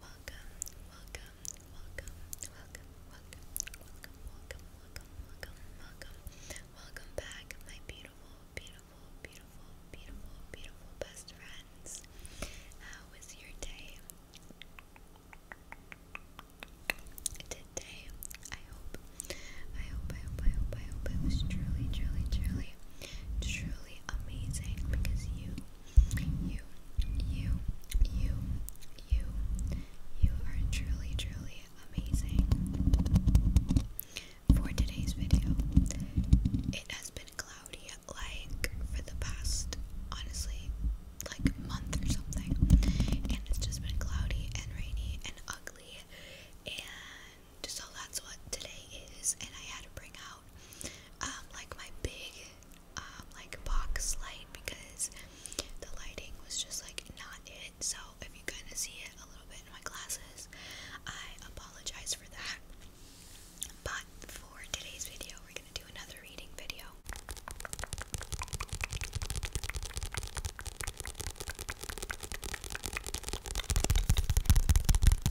Welcome, welcome, welcome, welcome, welcome, welcome, welcome, welcome, welcome, welcome, welcome back, my beautiful, beautiful, beautiful, beautiful, beautiful best friends. How was your day? Today, I hope, I hope, I hope, I hope, I hope it was truly, truly, truly, truly amazing because you you, you, you, you, you are truly, truly amazing. For today's video, it has been cloudy like for the past, honestly, like month or something. And it's just been cloudy and rainy and ugly. And so that's what today is. And I had to bring out um, like my big um, like box light because the lighting was just like not it. So if you kind of see it a little bit in my glasses, I apologize for that. But for today's video, we're gonna do another reading video.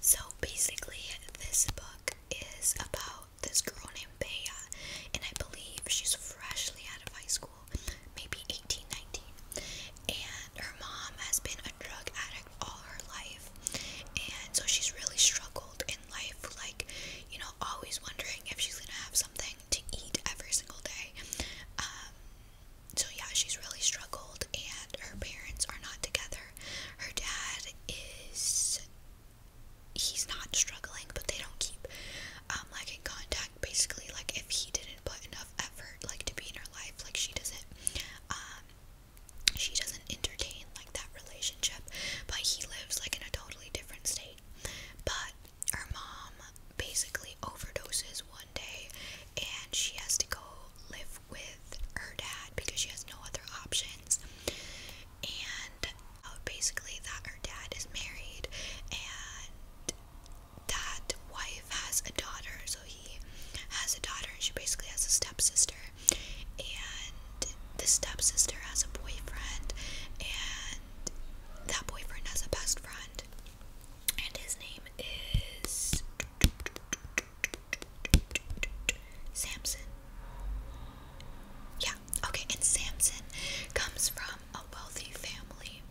So basically, this book is about this girl named Bea, and I believe she's freshly out of high school, maybe 18, 19. And her mom has been a drug addict all her life, and so she's really struggled in life, like, you know, always wondering if she's gonna have something to eat every single day. Um, so yeah, she's really struggled, and her parents are not together. Her dad is. He's not struggling, but they don't keep um like in contact. Basically, like if he didn't put enough effort like to be in her life, like she doesn't um she doesn't entertain like that relationship, but he lives like in a totally different state. But her mom basically overdoses one day and she has to go live with her dad because she has no other options. And uh, basically, that her dad is married and that wife has a daughter. So he has a daughter and she basically has a stepsister. And the stepsister has a boyfriend and that boyfriend has a best friend and his name is Samson. Yeah, okay, and Samson comes from a wealthy family.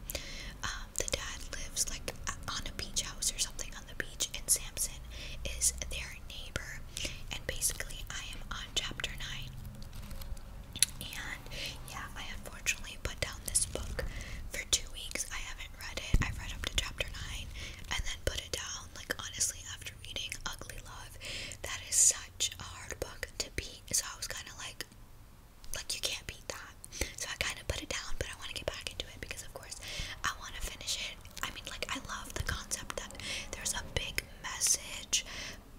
Um, the dad lives like on a beach house or something on the beach, and Samson is their neighbor. And basically, I am on chapter 9. And yeah, I unfortunately put down this book for two weeks. I haven't read it. I've read up to chapter 9 and then put it down. Like, honestly, after reading Ugly Love, that is such a hard book to beat. So I was kind of like, like, you can't beat that. So I kind of put it down, but I want to get back into it because, of course, I want to finish it. I mean, like, I love the concept that there's a big message,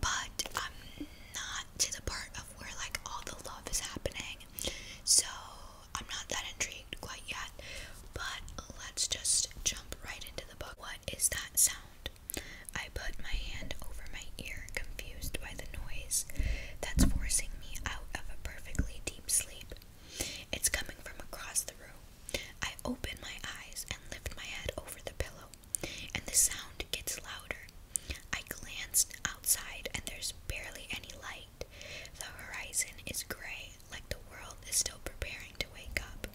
but I'm not to the part of where like all the love is happening, so I'm not that intrigued quite yet. But let's just jump right into the book. What is that sound? I put my hand over my ear, confused by the noise that's forcing me out of a perfectly deep sleep. It's coming from across the room. I open my eyes and lift my head over the pillow and the sound gets louder. I glance outside, and there's barely any light. The horizon is gray, like the world is still preparing to wake up.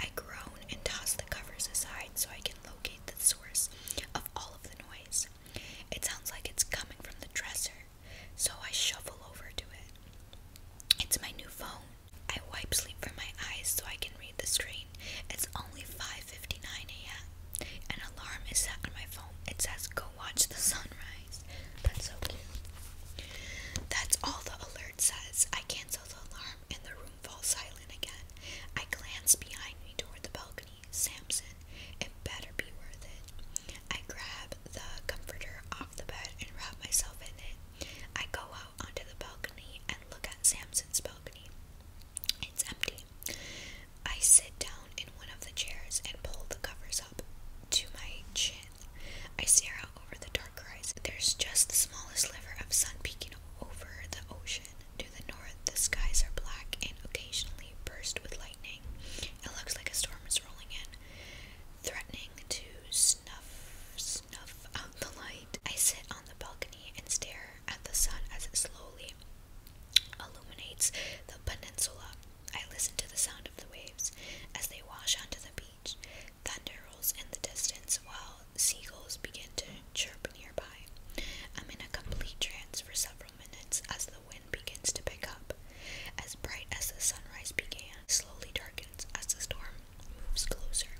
I groan and toss the covers aside so I can locate the source of all of the noise. It sounds like it's coming from the dresser, so I shuffle over to it. It's my new phone. I wipe sleep from my eyes so I can read the screen. It's only 5:59 a.m. An alarm is set on my phone. It says go watch the sunrise. That's so cute. That's all the alert says. I cancel the alarm and the room falls silent again. I glance behind me toward the balcony. Samson, it better be worth it. I grab the comforter off the bed and wrap myself in it. I go out onto the balcony and look at Samson's balcony. It's empty. I sit down in one of the chairs and pull the covers up to my chin. I stare out over the dark horizon. There's just the smallest sliver of sun peeking over the ocean. To the north, the skies are black and occasionally burst with lightning. It looks like a storm is rolling in, threatening to snuff snuff out the light. I sit on the balcony and stare at the sun as it slowly illuminates the peninsula. I listen to the sound of the waves as they wash onto the beach. Thunder rolls in the distance while seagulls begin to chirp nearby. I'm in a complete trance for several minutes as the wind begins to pick up. As bright as the sunrise began, slowly darkens as the storm moves closer.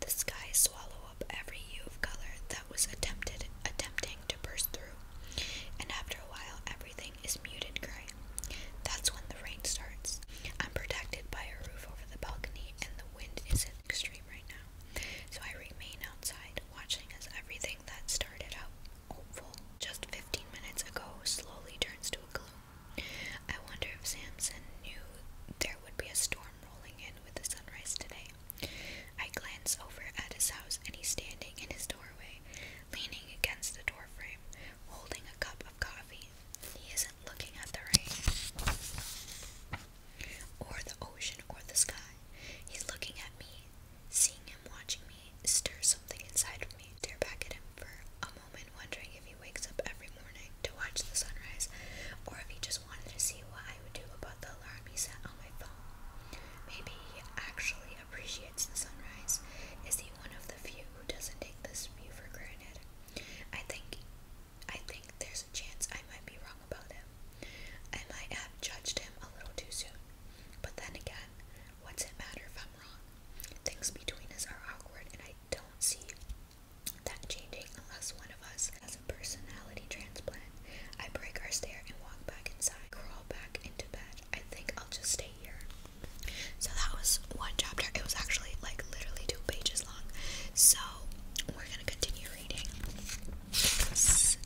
The skies swallow up every hue of color that was attempted attempting to burst through, and after a while everything is muted gray. That's when the rain starts. I'm protected by a roof over the balcony and the wind isn't extreme right now. So I remain outside watching as everything that started out hopeful just 15 minutes ago slowly turns to a gloom. I wonder if Samson knew there would be a storm rolling in with the sunrise today. I glance over at his house, and he's standing in his doorway, leaning against the doorframe, holding a cup of coffee. He isn't looking at the rain, or the ocean, or the sky. He's looking at me. Seeing him watching me stir something inside of me, stare back at him for a moment, wondering if if he wakes up every morning to watch the sunrise, or if he just wanted to see what I would do about the alarm he set on my phone. Maybe he actually appreciates the sunrise. Is he one of the few who doesn't take this view for granted? I think I think there's a chance I might be wrong about him. I might have judged him a little too soon. But then again, what's it matter if I'm wrong? Things between us are awkward and I don't see that changing unless one of us has a personality transplant. I break our stair and walk back inside, crawl back into bed. I think I'll just stay here. So that was one chapter. It was actually like literally two pages long. So we're gonna continue reading. Let's,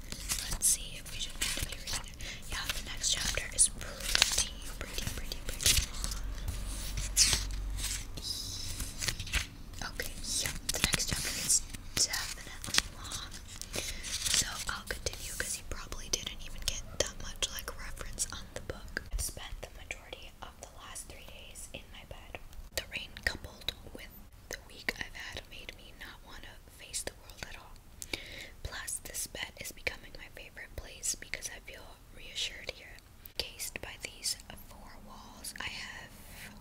see if we should continue It. Yeah, the next chapter is pretty, pretty, pretty, pretty long. Okay, yeah, the next chapter is definitely long. So I'll continue because you probably didn't even get that much like reference on the book. I've spent the majority of the last three days in my bed. The rain coupled with the week I've had made me not want to face the world at all. Plus, this bed is becoming my favorite place because I feel reassured here. Cased by these four walls, I have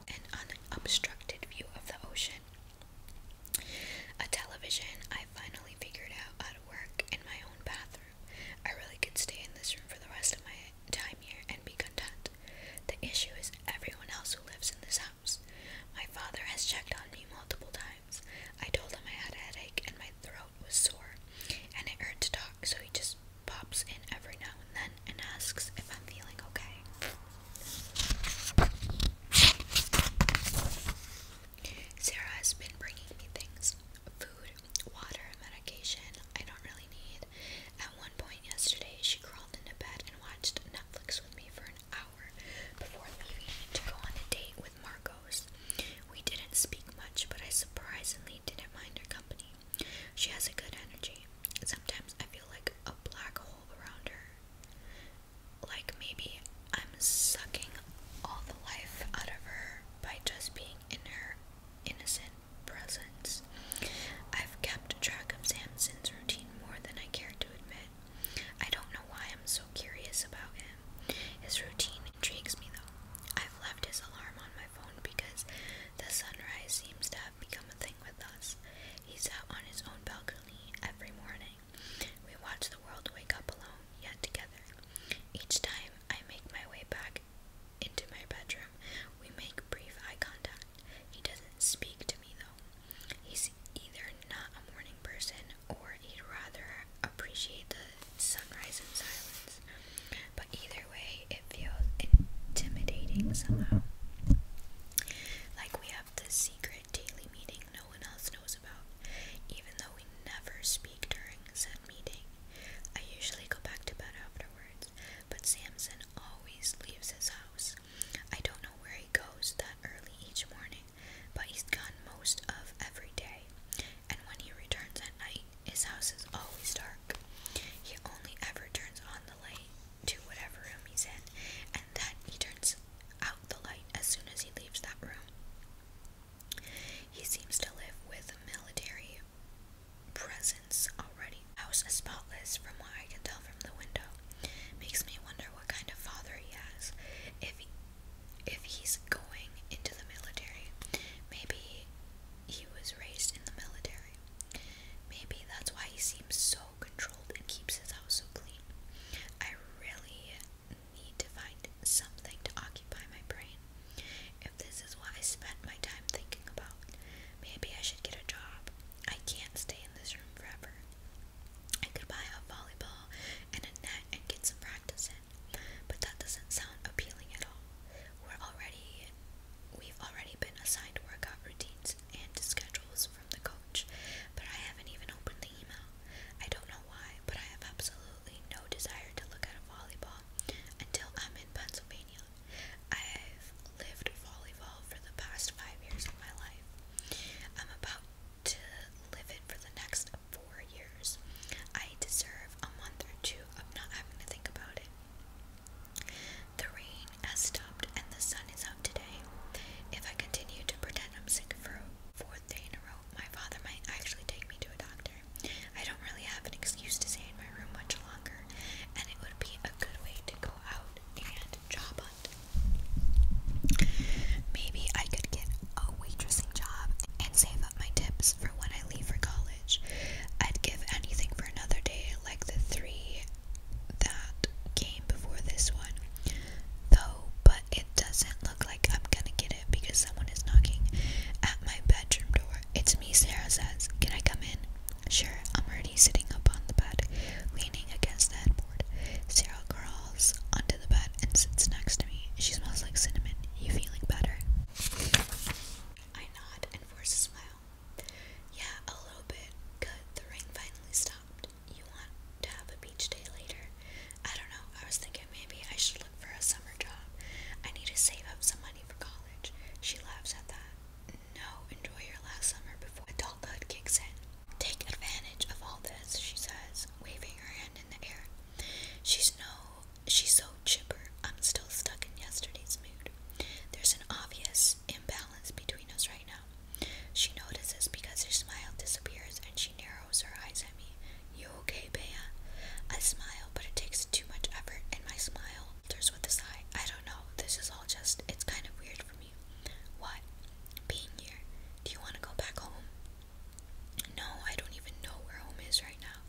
an unobstructed view of the ocean. A television I finally figured out how to work in my own bathroom. I really could stay in this room for the rest of my time here and be content. The issue is everyone else who lives in this house. My father has checked on me multiple times. I told him I had a headache and my throat was sore and it hurt to talk, so he just pops in every now and then and asks if I'm feeling okay. Sarah has been bringing me things food, water, medication I don't really need. At one point yesterday, she crawled into bed and watched Netflix with me for an hour before leaving to go on a date with Marco we didn't speak much, but I surprisingly didn't mind her company. She has a good energy. Sometimes I feel like a black hole around her. Like maybe I'm sucking all the life out of her by just being in her innocent presence. I've kept track of Samson's routine more than I care to admit. I don't know why I'm so curious about him. His routine intrigues me though. I've left his alarm on my phone because the sunrise seems to have become a thing with us. He's out on his own balcony every morning. We watch the world wake up alone, yet together. Each time I make my way back into my bedroom, we make brief eye contact. He doesn't speak to me though. He's either not a morning person or he'd rather appreciate the sunrise in silence. But either way, it feels intimidating somehow. Like we have this secret daily meeting no one else knows about, even though we never speak during said meeting. I usually go back to bed afterwards, but Samson always leaves his house. I don't know where he goes that early each morning, but he's gone most of every day. And when he returns his house is always dark. He only ever turns on the light to whatever room he's in, and then he turns out the light as soon as he leaves that room. He seems to live with a military presence already. House is spotless from what I can tell from the window. Makes me wonder what kind of father he has. If if he's going into the military, maybe he was raised in the military. Maybe that's why he seems so controlled and keeps his house so clean. I really need to find something to occupy my brain. If this is what I spent my time thinking about, maybe I should get a job. I can't stay in this room forever. I could buy a volleyball and a net and get some practice in but that doesn't sound appealing at all. We're already we've already been assigned workout routines and schedules from the coach, but I haven't even opened the email. I don't know why, but I have absolutely no desire to look at a volleyball until I'm in Pennsylvania. I've lived volleyball for the past five years of my life. I'm about to live it for the next four years. I deserve a month or two of not having to think about it. The rain has stopped and the sun is out today. If I continue to pretend I'm sick for a fourth day in a row, my father might actually take me to a doctor. I don't really have an excuse to stay in my room much longer, and it would be a good way to go out and job hunt. Maybe I could get a waitressing job and save up my tips for when I leave for college. I'd give anything for another day like the three that came before this one. Though, but it doesn't look like I'm gonna get it because someone is knocking at my bedroom door. It's me, Sarah says. Can I come in? Sure, I'm already sitting up on the bed, leaning against the headboard. Sarah crawls onto the bed and sits next to me. She smells like cinnamon. You feeling better? I nod and force a smile. Yeah, a little bit. Good, the rain finally stopped. You want to have a beach day later? I don't know. I was thinking maybe I should look for a summer job. I need to save up some money for college. She laughs at that. No, enjoy your last summer before adulthood kicks in. Take advantage of all this, she says, waving her hand She's no she's so chipper. I'm still stuck in yesterday's mood. There's an obvious imbalance between us right now. She notices because her smile disappears and she narrows her eyes at me. You okay, Bea? I smile, but it takes too much effort and my smile turns with a sigh. I don't know. This is all just it's kind of weird for me. What? Being here. Do you want to go back home? No, I don't even know where home is right now.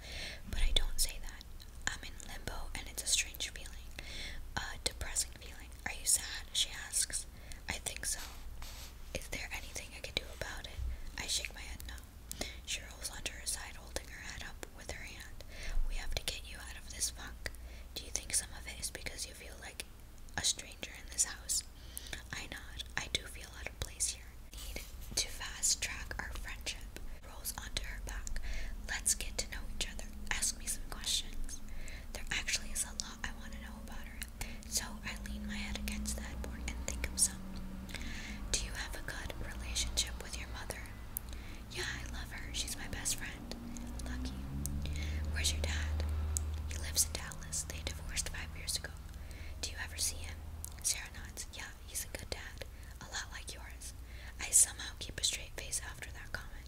But I don't say that. I'm in limbo and it's a strange feeling. A depressing feeling. Are you sad? She asks. I think so. Is there anything I can do about it? I shake my head no. She rolls onto her side, holding her head up with her hand. We have to get you out of this funk. Do you think some of it is because you feel like a stranger in this house. I nod. I do feel out of place here. Need to fast track our friendship. Rolls onto her back. Let's get to know each other. Ask me some questions. There actually is a lot I want to know about her. So I lean my head against that board and think of some. Do you have a good relationship with your mother? Yeah, I love her. She's my best friend. Lucky. Where's your dad? He lives in Dallas. Nicholas. They divorced five years ago. Do you ever see him? Sarah nods. Yeah, he's a good dad. A lot like yours. I somehow keep a straight face after that comment.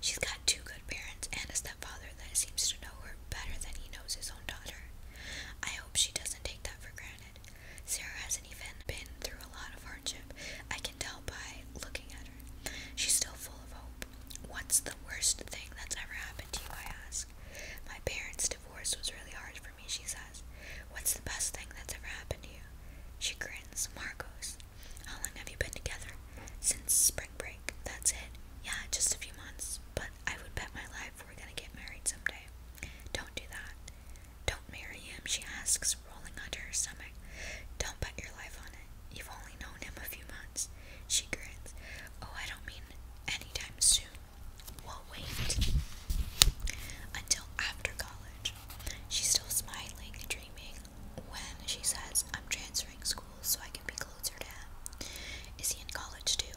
She's got two good parents and a stepfather that seems to know her better than he knows his own daughter. I hope she doesn't take that for granted. Sarah hasn't even been through a lot of hardship. I can tell by looking at She's still full of hope. What's the worst thing that's ever happened to you? I ask. My parents' divorce was really hard for me, she says. What's the best thing that's ever happened to you? She grins. Marcos. How long have you been together? Since spring break. That's it. Yeah, just a few months. But I would bet my life we're gonna get married someday. Don't do that. Don't marry him, she asks, rolling under her stomach. Don't bet your life on it. You've only known him a few months. She grins. Oh, I don't mean anytime soon. We'll wait. Until after college. She's still smiling and dreaming when she says, I'm transferring schools so I can be closer to him. Is he in college too?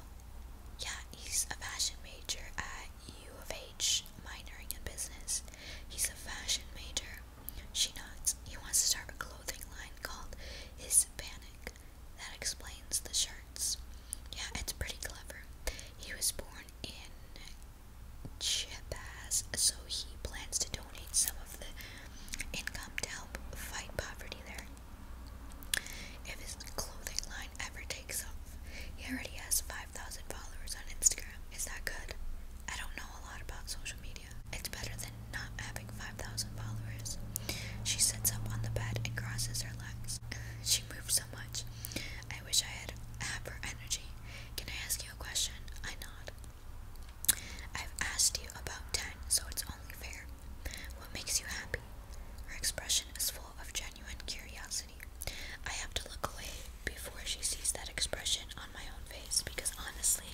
Yeah, he's a fashion major at U of H, minoring in business. He's a fashion major. She nods. He wants to start a clothing line called Hispanic. That explains the shirts. Yeah, it's pretty clever. He was born in Chiapas, so he plans to donate some of the income to help fight poverty there. If his clothing line ever takes off, he already has 5,000 followers on Instagram. Is that good? I don't know a lot about social media. It's better than not having 5,000 followers. She sits up on the bed and crosses her legs. She moves so much. I wish I had have her energy. Can I ask you a question? I nod. I've asked you about 10, so it's only fair. What makes you happy? Her expression is full of genuine curiosity. I have to look away before she sees that expression on my own face because honestly,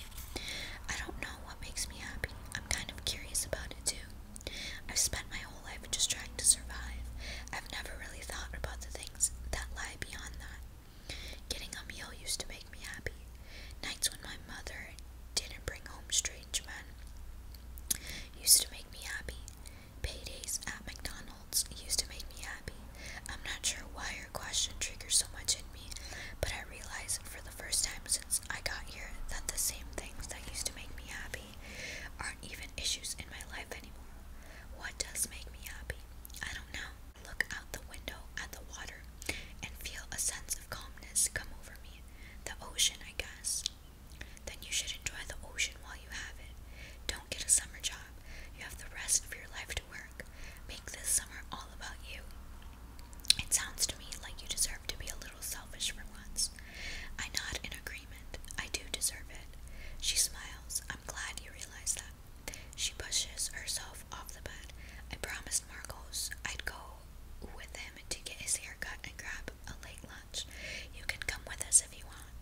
I don't know what makes me happy. I'm kind of curious about it too. I've spent my whole life just trying to survive. I've never really thought about the things that lie beyond that. Getting a meal used to make me happy. Nights when my mother didn't bring home strange men used to make me happy. Paydays at McDonald's used to make me happy. I'm not sure why entire question triggers so much in me, but I realize for the first time since I got here that the same things that used to make me happy aren't even issues in my life anymore. What does make me happy? I don't know. Look out the window at the water and feel a sense of calmness come over me. The ocean, I guess. Then you should enjoy the ocean while you have it. Don't get a summer job. You have the rest of your life to work. Make this summer all about you. It sounds to me like you deserve to be a little selfish for once. I nod in agreement. I do deserve it. She smiles. I'm glad you realize that. She pushes herself off the bed. I promised Marcos I'd go with him to get his hair cut and grab a late lunch. You can come with us if you want.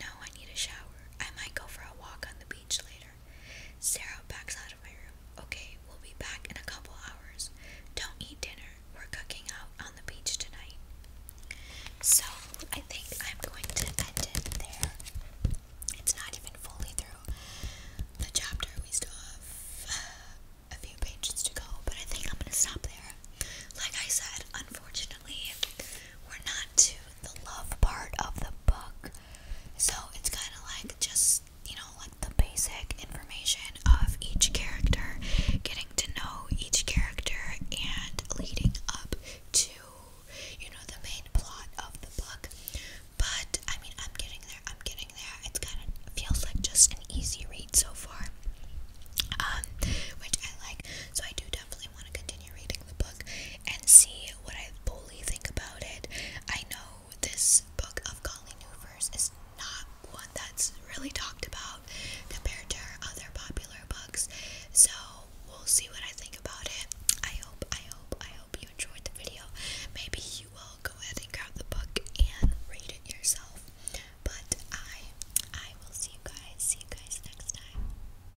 No, I need a shower. I might go for a walk on the beach later. Sarah backs out of my room. Okay, we'll be back in a couple hours. Don't eat dinner. We're cooking out on the beach tonight. So I think I'm going to end it there. It's not even fully through the chapter. We still have uh, a few pages to go, but I think I'm gonna stop there. Like I said, unfortunately, we're not too the love part of the book. So it's kind of like just, you know, like the basic information of each character, getting to know each character, and leading up to, you know, the main plot of the book. But I mean, I'm getting there, I'm getting there. It's kind of feels like just an easy read so far, um, which I like. So I do definitely want to continue reading the book and see what I fully think about it. I know this book of Colleen Hoover's is not one that's really talked about compared to other popular books, so we'll see what I think about it. I hope, I hope, I hope you enjoyed the video. Maybe you will go ahead and grab the book and read it yourself. But I I will see you guys. See you guys next time.